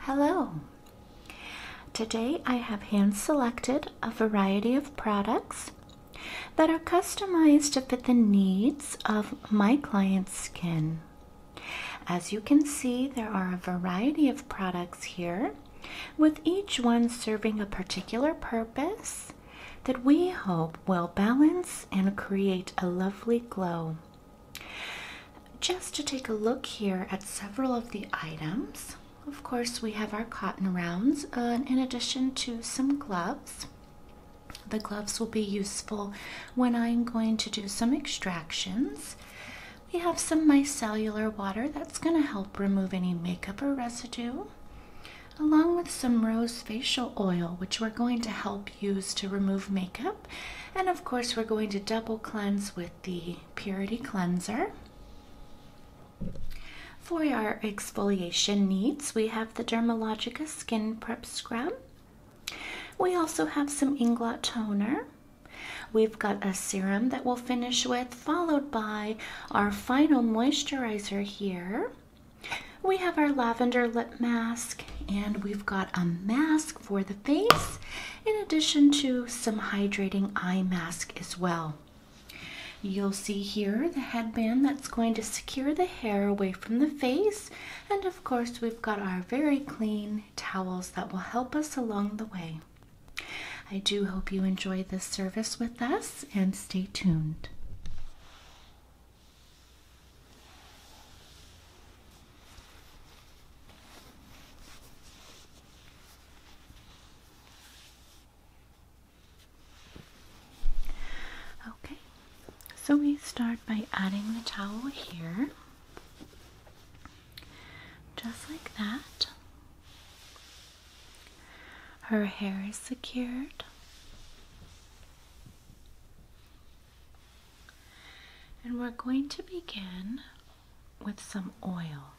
Hello! Today I have hand selected a variety of products that are customized to fit the needs of my client's skin. As you can see, there are a variety of products here, with each one serving a particular purpose that we hope will balance and create a lovely glow. Just to take a look here at several of the items. Of course, we have our cotton rounds uh, in addition to some gloves. The gloves will be useful when I'm going to do some extractions. We have some micellular water that's going to help remove any makeup or residue, along with some rose facial oil, which we're going to help use to remove makeup. And of course, we're going to double cleanse with the Purity Cleanser. For our exfoliation needs, we have the Dermalogica Skin Prep Scrub. We also have some Inglot Toner. We've got a serum that we'll finish with, followed by our final moisturizer here. We have our lavender lip mask, and we've got a mask for the face, in addition to some hydrating eye mask as well. You'll see here the headband that's going to secure the hair away from the face, and of course, we've got our very clean towels that will help us along the way. I do hope you enjoy this service with us and stay tuned. Okay, so we start by adding the towel here, just like that. Her hair is secured. And we're going to begin with some oil.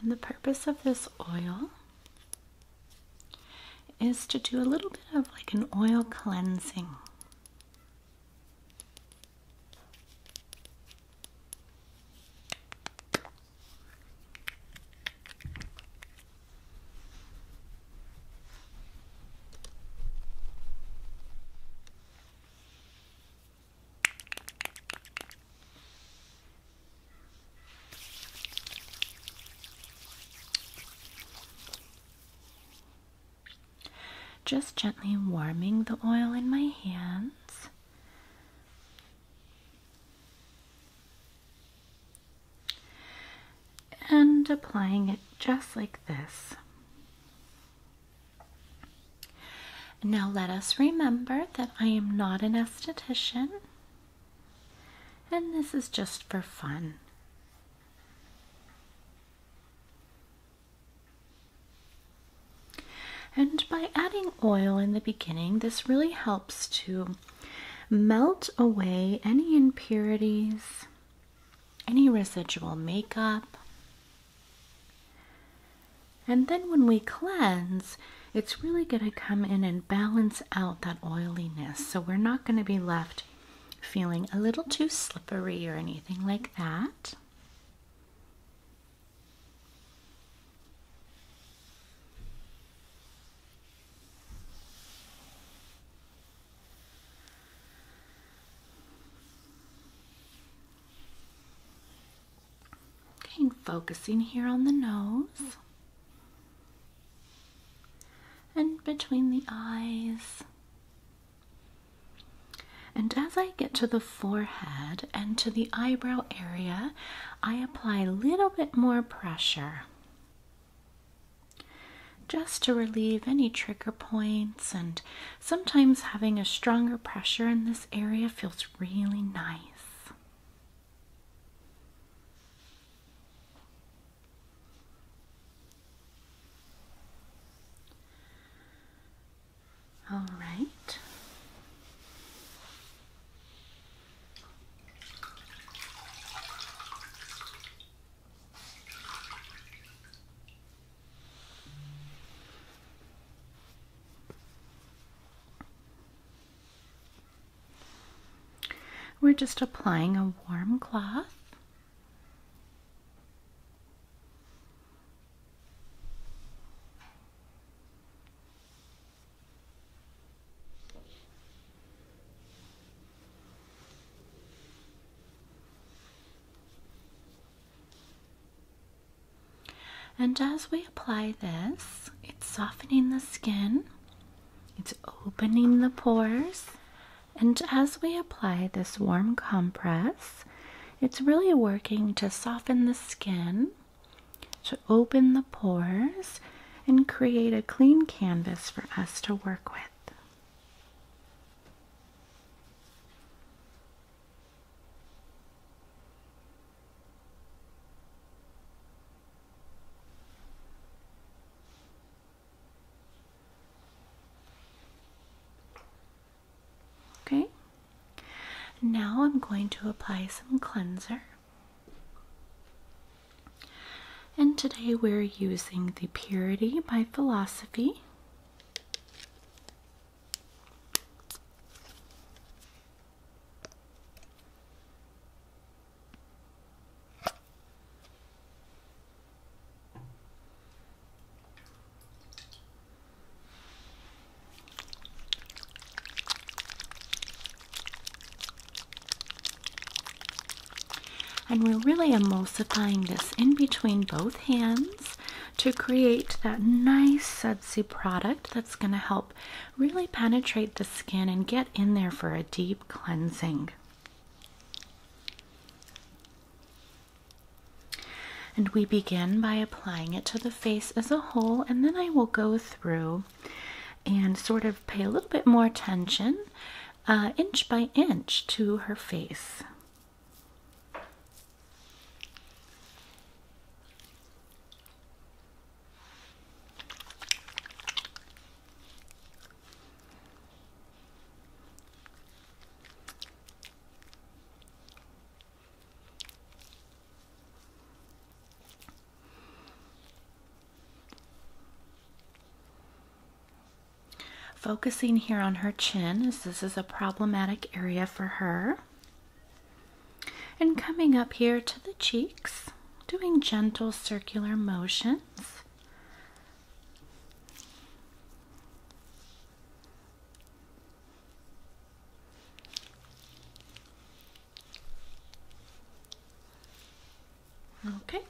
And the purpose of this oil is to do a little bit of like an oil cleansing. Just gently warming the oil in my hands and applying it just like this. Now let us remember that I am not an esthetician and this is just for fun. And by adding oil in the beginning, this really helps to melt away any impurities any residual makeup. And then when we cleanse, it's really going to come in and balance out that oiliness. So we're not going to be left feeling a little too slippery or anything like that. Okay, focusing here on the nose and between the eyes. And as I get to the forehead and to the eyebrow area, I apply a little bit more pressure just to relieve any trigger points. And sometimes having a stronger pressure in this area feels really nice. All right. We're just applying a warm cloth. And as we apply this, it's softening the skin, it's opening the pores. And as we apply this warm compress, it's really working to soften the skin, to open the pores, and create a clean canvas for us to work with. Okay, now I'm going to apply some cleanser. And today we're using the Purity by Philosophy. And we're really emulsifying this in between both hands to create that nice sudsy product that's going to help really penetrate the skin and get in there for a deep cleansing. And we begin by applying it to the face as a whole, and then I will go through and sort of pay a little bit more attention uh, inch by inch to her face. Focusing here on her chin, as this is a problematic area for her. And coming up here to the cheeks, doing gentle circular motions. Okay.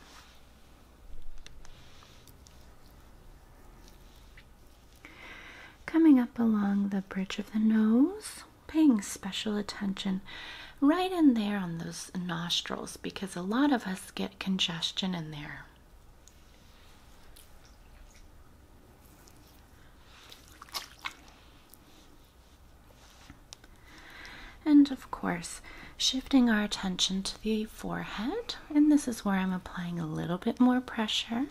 Coming up along the bridge of the nose, paying special attention right in there on those nostrils because a lot of us get congestion in there. And of course, shifting our attention to the forehead. And this is where I'm applying a little bit more pressure.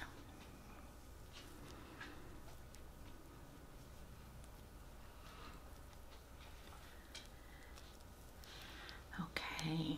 Okay.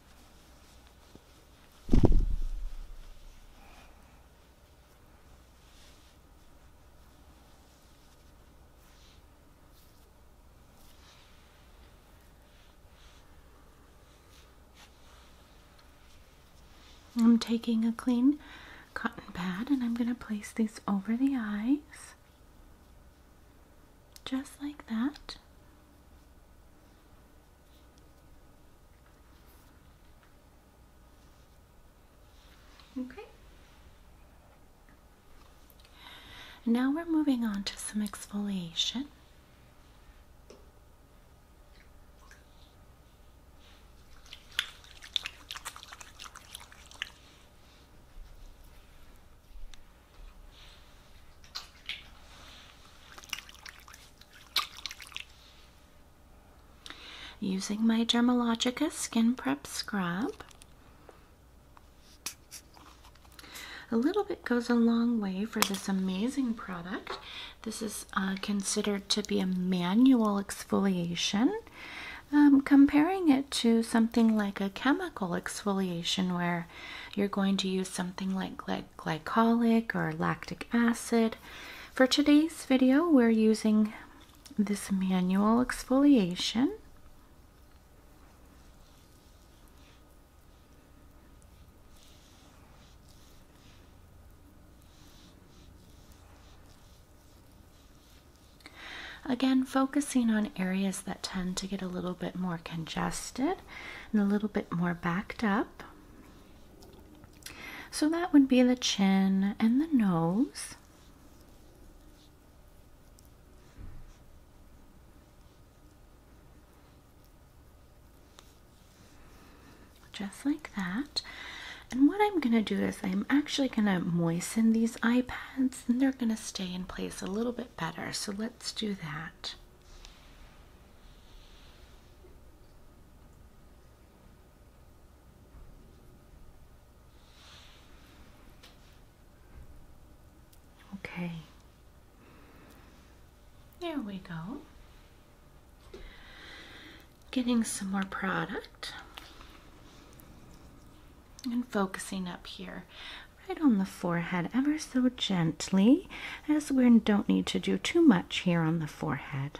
I'm taking a clean cotton pad and I'm going to place these over the eyes just like that. Okay. Now we're moving on to some exfoliation. Using my Dermalogica Skin Prep Scrub. A little bit goes a long way for this amazing product. This is uh, considered to be a manual exfoliation. Um, comparing it to something like a chemical exfoliation where you're going to use something like glycolic or lactic acid. For today's video, we're using this manual exfoliation. Again, focusing on areas that tend to get a little bit more congested and a little bit more backed up. So that would be the chin and the nose. Just like that. And what I'm going to do is I'm actually going to moisten these eye pads and they're going to stay in place a little bit better. So let's do that. Okay. There we go. Getting some more product and focusing up here right on the forehead ever so gently, as we don't need to do too much here on the forehead.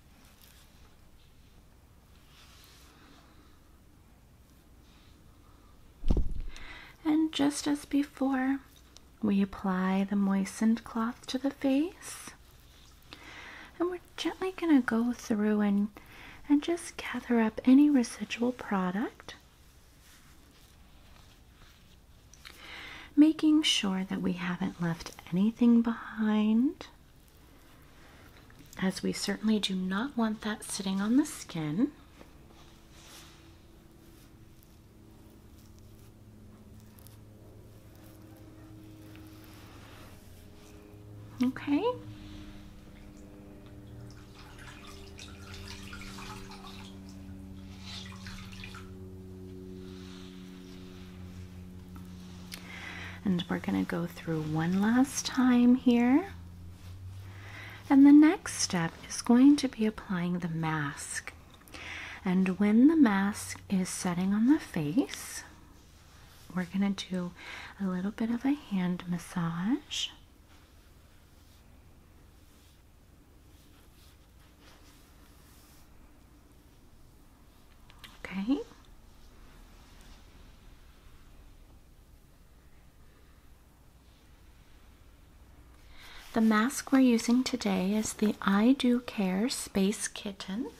And just as before, we apply the moistened cloth to the face. And we're gently going to go through and, and just gather up any residual product making sure that we haven't left anything behind, as we certainly do not want that sitting on the skin. Okay. And we're going to go through one last time here. And the next step is going to be applying the mask. And when the mask is setting on the face, we're going to do a little bit of a hand massage. Okay. The mask we're using today is the I Do Care Space Kitten.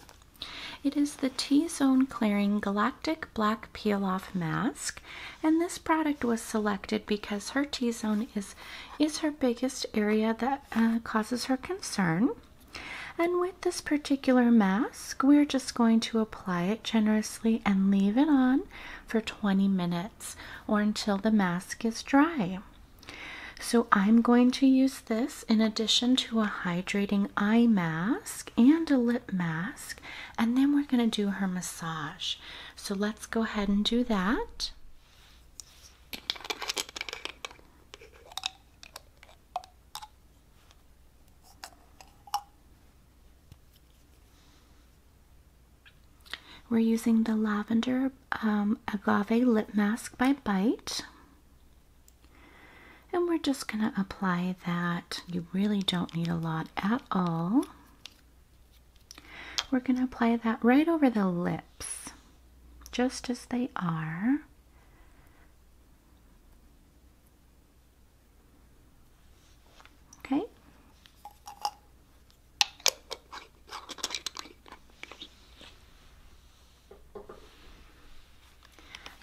It is the T-Zone Clearing Galactic Black Peel-Off Mask, and this product was selected because her T-Zone is, is her biggest area that uh, causes her concern. And with this particular mask, we're just going to apply it generously and leave it on for 20 minutes or until the mask is dry. So I'm going to use this in addition to a hydrating eye mask and a lip mask, and then we're going to do her massage. So let's go ahead and do that. We're using the Lavender um, Agave Lip Mask by Bite. And we're just going to apply that. You really don't need a lot at all. We're going to apply that right over the lips, just as they are. Okay.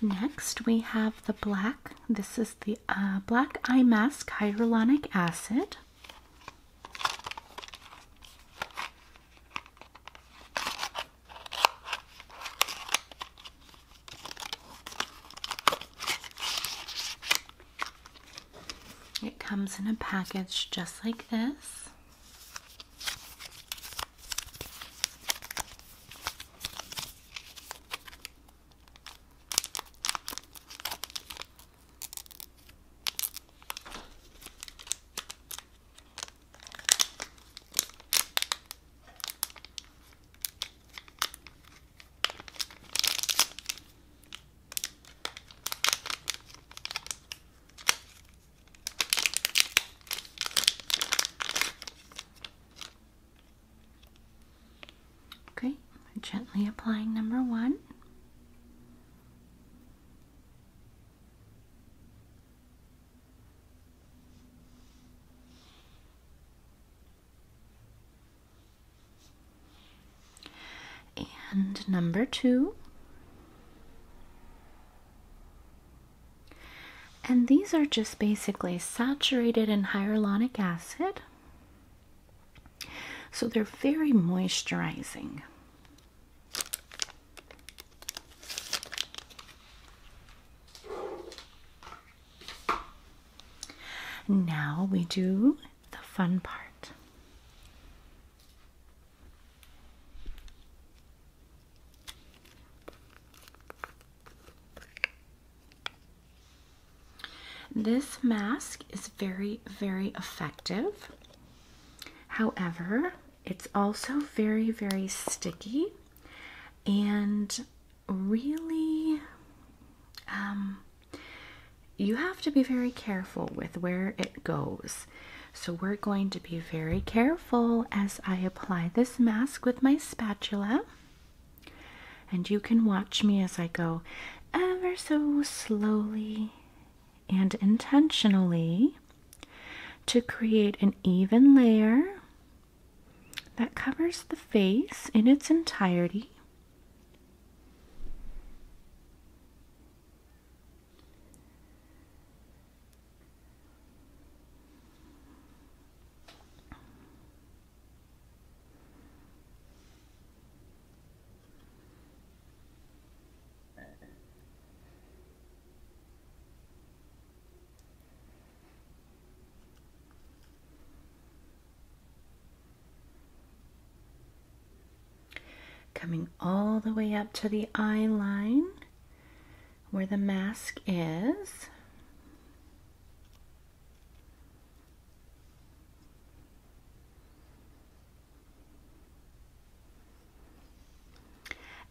Next, we have the black. This is the uh, black eye mask hyaluronic acid. It comes in a package just like this. Okay, gently applying number one. And number two. And these are just basically saturated in hyaluronic acid. So they're very moisturizing. Now we do the fun part. This mask is very, very effective. However, it's also very, very sticky and really, um, you have to be very careful with where it goes. So, we're going to be very careful as I apply this mask with my spatula. And you can watch me as I go ever so slowly and intentionally to create an even layer that covers the face in its entirety. Coming all the way up to the eye line where the mask is.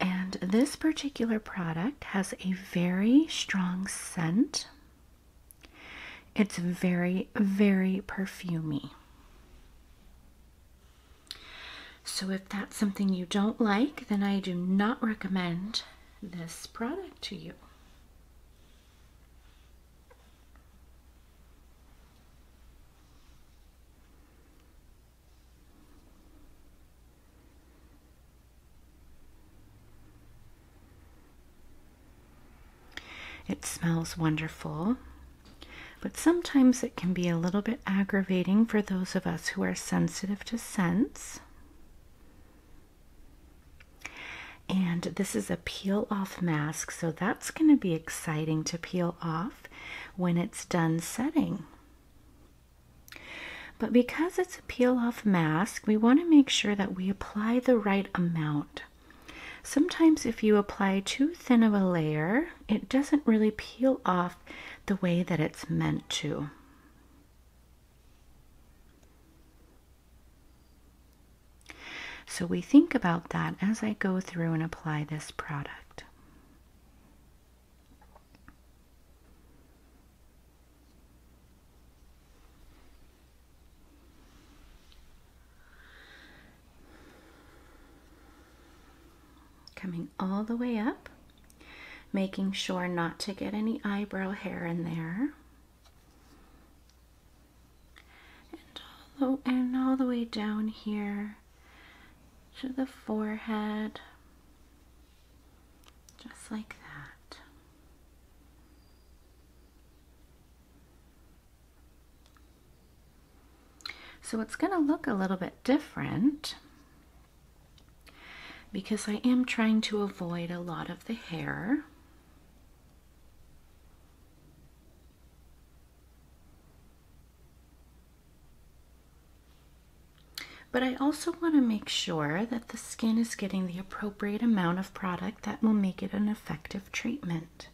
And this particular product has a very strong scent. It's very, very perfumy. So, if that's something you don't like, then I do not recommend this product to you. It smells wonderful, but sometimes it can be a little bit aggravating for those of us who are sensitive to scents. And this is a peel off mask, so that's going to be exciting to peel off when it's done setting. But because it's a peel off mask, we want to make sure that we apply the right amount. Sometimes if you apply too thin of a layer, it doesn't really peel off the way that it's meant to. So we think about that as I go through and apply this product. Coming all the way up, making sure not to get any eyebrow hair in there. And all the, way down here to the forehead just like that. So it's going to look a little bit different because I am trying to avoid a lot of the hair. But I also want to make sure that the skin is getting the appropriate amount of product that will make it an effective treatment.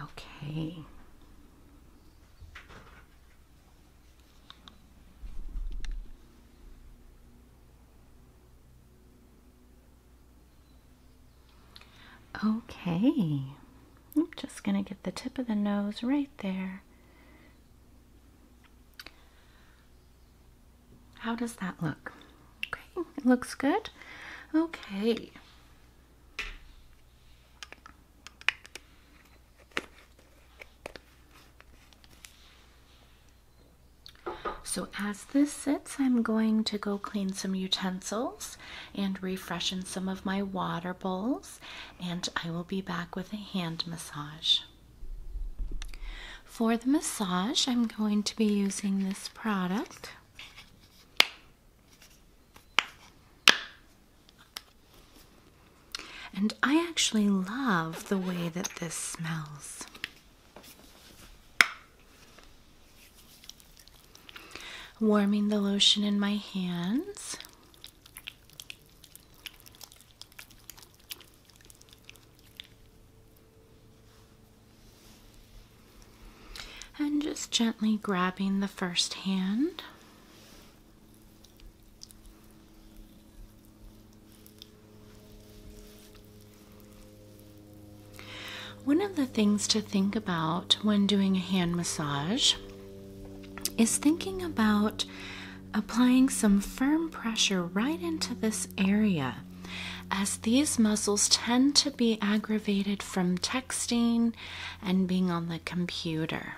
Okay. Okay, I'm just going to get the tip of the nose right there. How does that look? Okay, it looks good. Okay. So as this sits, I'm going to go clean some utensils and refreshen some of my water bowls, and I will be back with a hand massage. For the massage, I'm going to be using this product. And I actually love the way that this smells. Warming the lotion in my hands. And just gently grabbing the first hand. One of the things to think about when doing a hand massage is thinking about applying some firm pressure right into this area as these muscles tend to be aggravated from texting and being on the computer.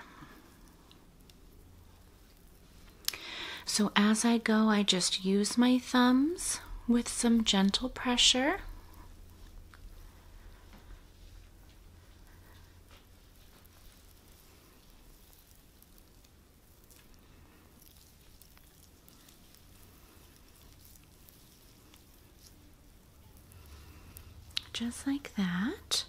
So as I go, I just use my thumbs with some gentle pressure. Just like that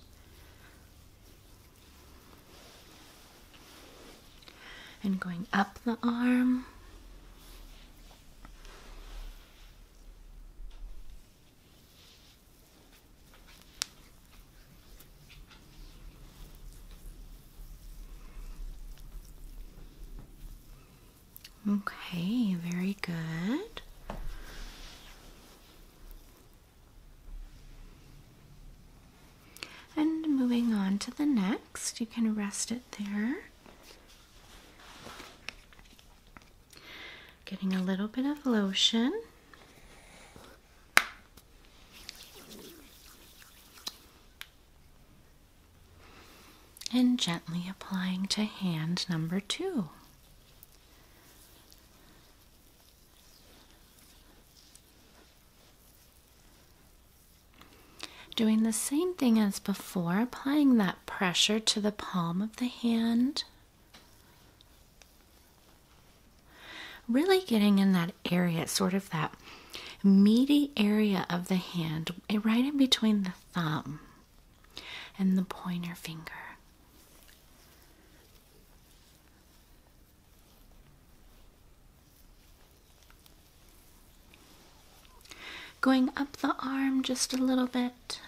and going up the arm. Okay, very good. And moving on to the next, you can rest it there. Getting a little bit of lotion. And gently applying to hand number two. Doing the same thing as before, applying that pressure to the palm of the hand. Really getting in that area, sort of that meaty area of the hand, eh, right in between the thumb and the pointer finger. Going up the arm just a little bit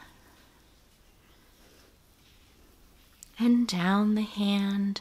and down the hand.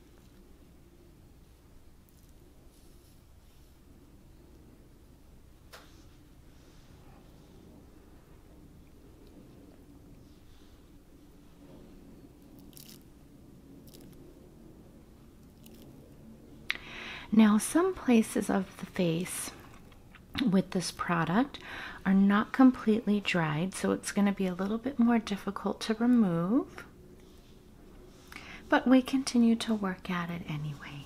Now, some places of the face with this product are not completely dried, so it's going to be a little bit more difficult to remove but we continue to work at it anyway.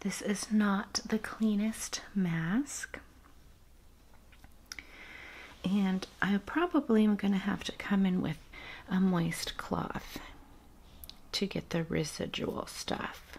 This is not the cleanest mask. And I probably am going to have to come in with a moist cloth to get the residual stuff.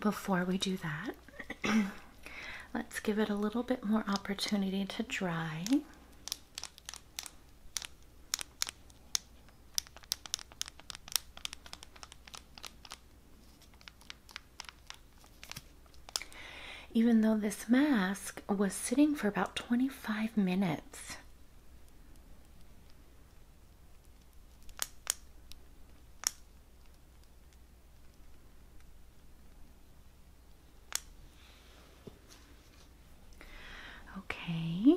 Before we do that, let's give it a little bit more opportunity to dry. Even though this mask was sitting for about 25 minutes. Okay.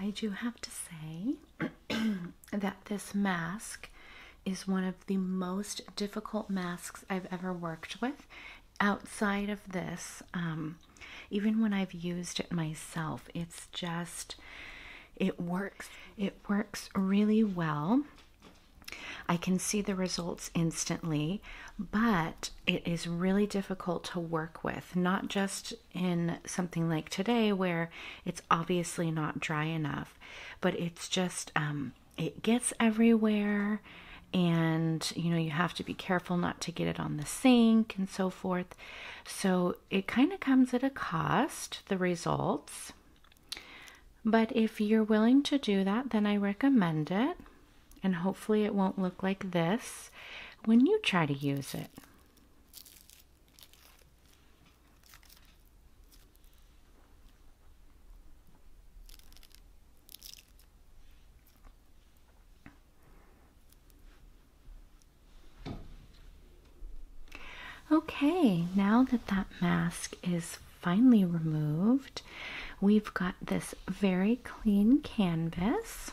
I do have to say that this mask is one of the most difficult masks I've ever worked with, outside of this, um, even when I've used it myself, it's just, it works. It works really well. I can see the results instantly, but it is really difficult to work with, not just in something like today where it's obviously not dry enough, but it's just um, it gets everywhere and you know you have to be careful not to get it on the sink and so forth so it kind of comes at a cost the results but if you're willing to do that then i recommend it and hopefully it won't look like this when you try to use it Okay, now that that mask is finally removed, we've got this very clean canvas.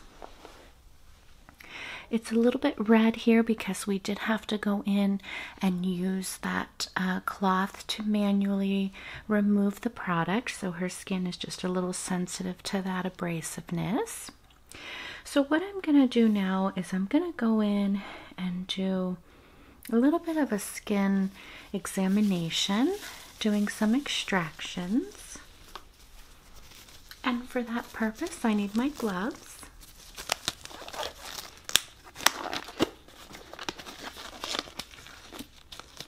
It's a little bit red here because we did have to go in and use that uh, cloth to manually remove the product. So her skin is just a little sensitive to that abrasiveness. So, what I'm going to do now is I'm going to go in and do a little bit of a skin examination, doing some extractions. And for that purpose, I need my gloves.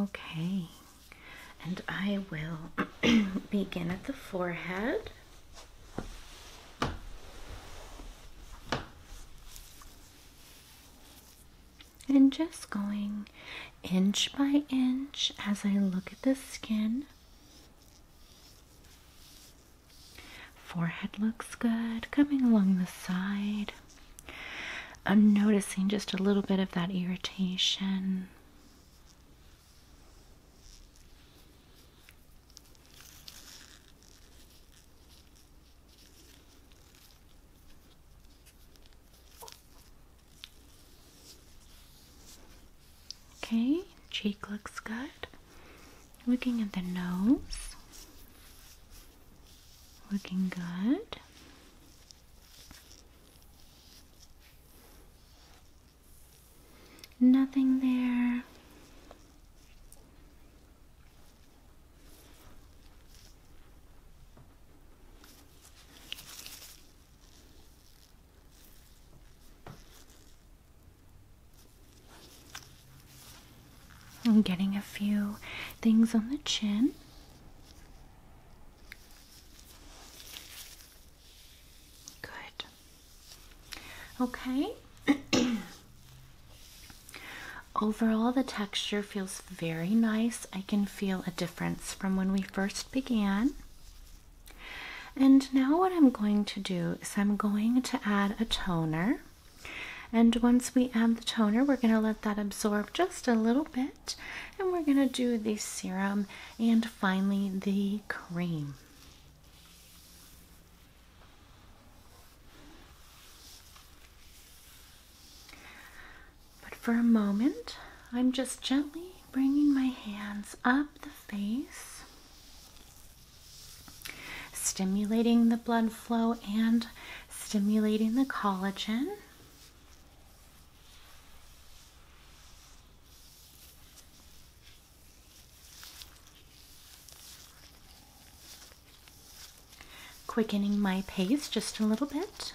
Okay, and I will begin at the forehead and just going inch by inch as I look at the skin. Forehead looks good, coming along the side. I'm noticing just a little bit of that irritation. Okay, cheek looks good. Looking at the nose. Looking good. Nothing there. I'm getting a few things on the chin. Good. Okay. Overall, the texture feels very nice. I can feel a difference from when we first began. And now, what I'm going to do is, I'm going to add a toner. And once we add the toner, we're going to let that absorb just a little bit. And we're going to do the serum and finally the cream. But for a moment, I'm just gently bringing my hands up the face, stimulating the blood flow and stimulating the collagen. Quickening my pace just a little bit.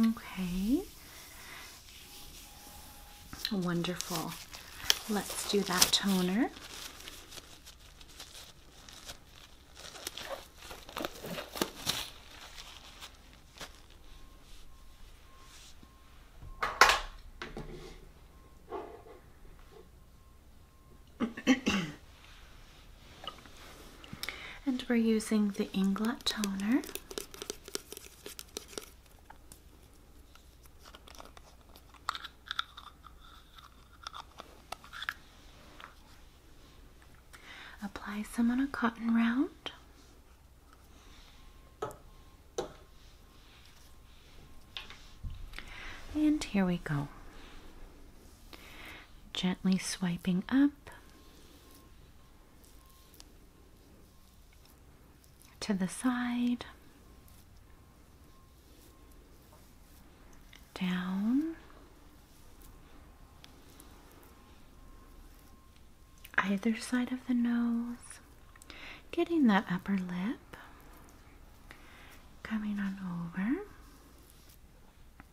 Okay. Wonderful. Let's do that toner. And we're using the Inglot toner. Apply some on a cotton round. And here we go. Gently swiping up to the side, down. Either side of the nose, getting that upper lip, coming on over,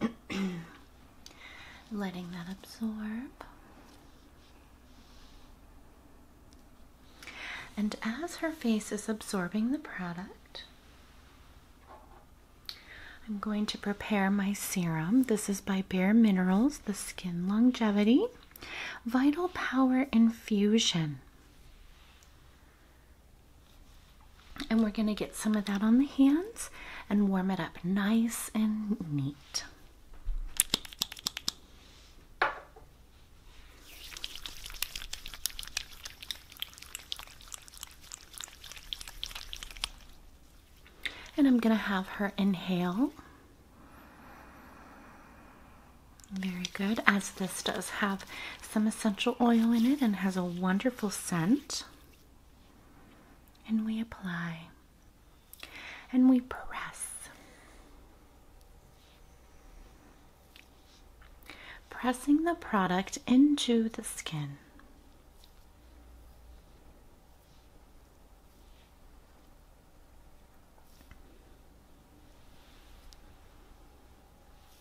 Letting that absorb. And as her face is absorbing the product, I'm going to prepare my serum. This is by Bare Minerals, the Skin Longevity Vital Power Infusion. And we're going to get some of that on the hands and warm it up nice and neat. And I'm going to have her inhale. Very good, as this does have some essential oil in it and has a wonderful scent. And we apply and we press. Pressing the product into the skin.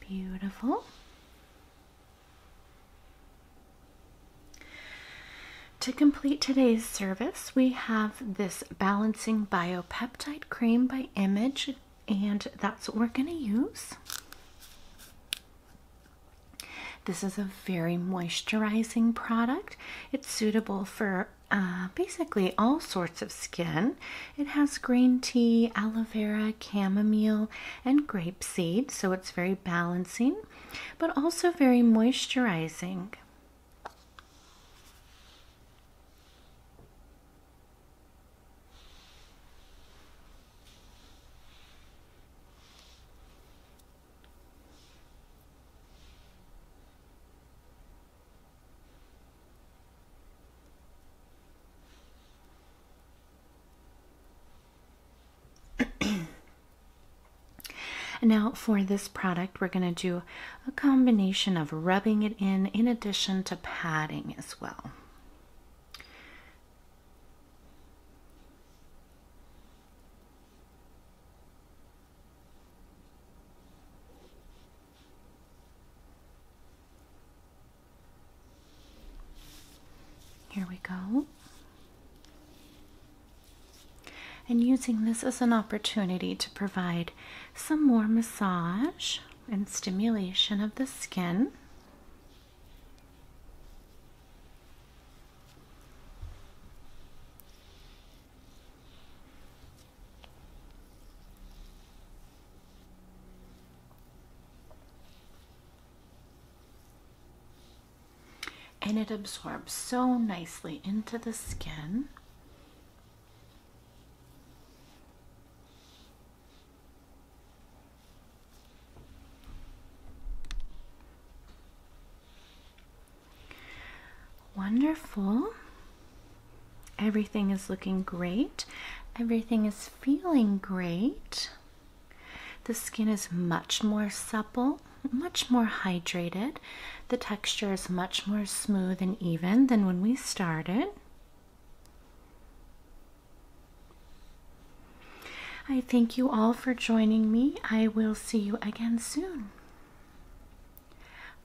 Beautiful. To complete today's service, we have this Balancing Biopeptide Cream by Image, and that's what we're going to use. This is a very moisturizing product. It's suitable for uh, basically all sorts of skin. It has green tea, aloe vera, chamomile, and grapeseed, so it's very balancing, but also very moisturizing now for this product, we're going to do a combination of rubbing it in, in addition to padding as well. Here we go. And using this as an opportunity to provide some more massage and stimulation of the skin and it absorbs so nicely into the skin. Wonderful. Everything is looking great. Everything is feeling great. The skin is much more supple, much more hydrated. The texture is much more smooth and even than when we started. I thank you all for joining me. I will see you again soon.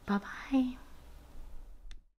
Bye bye.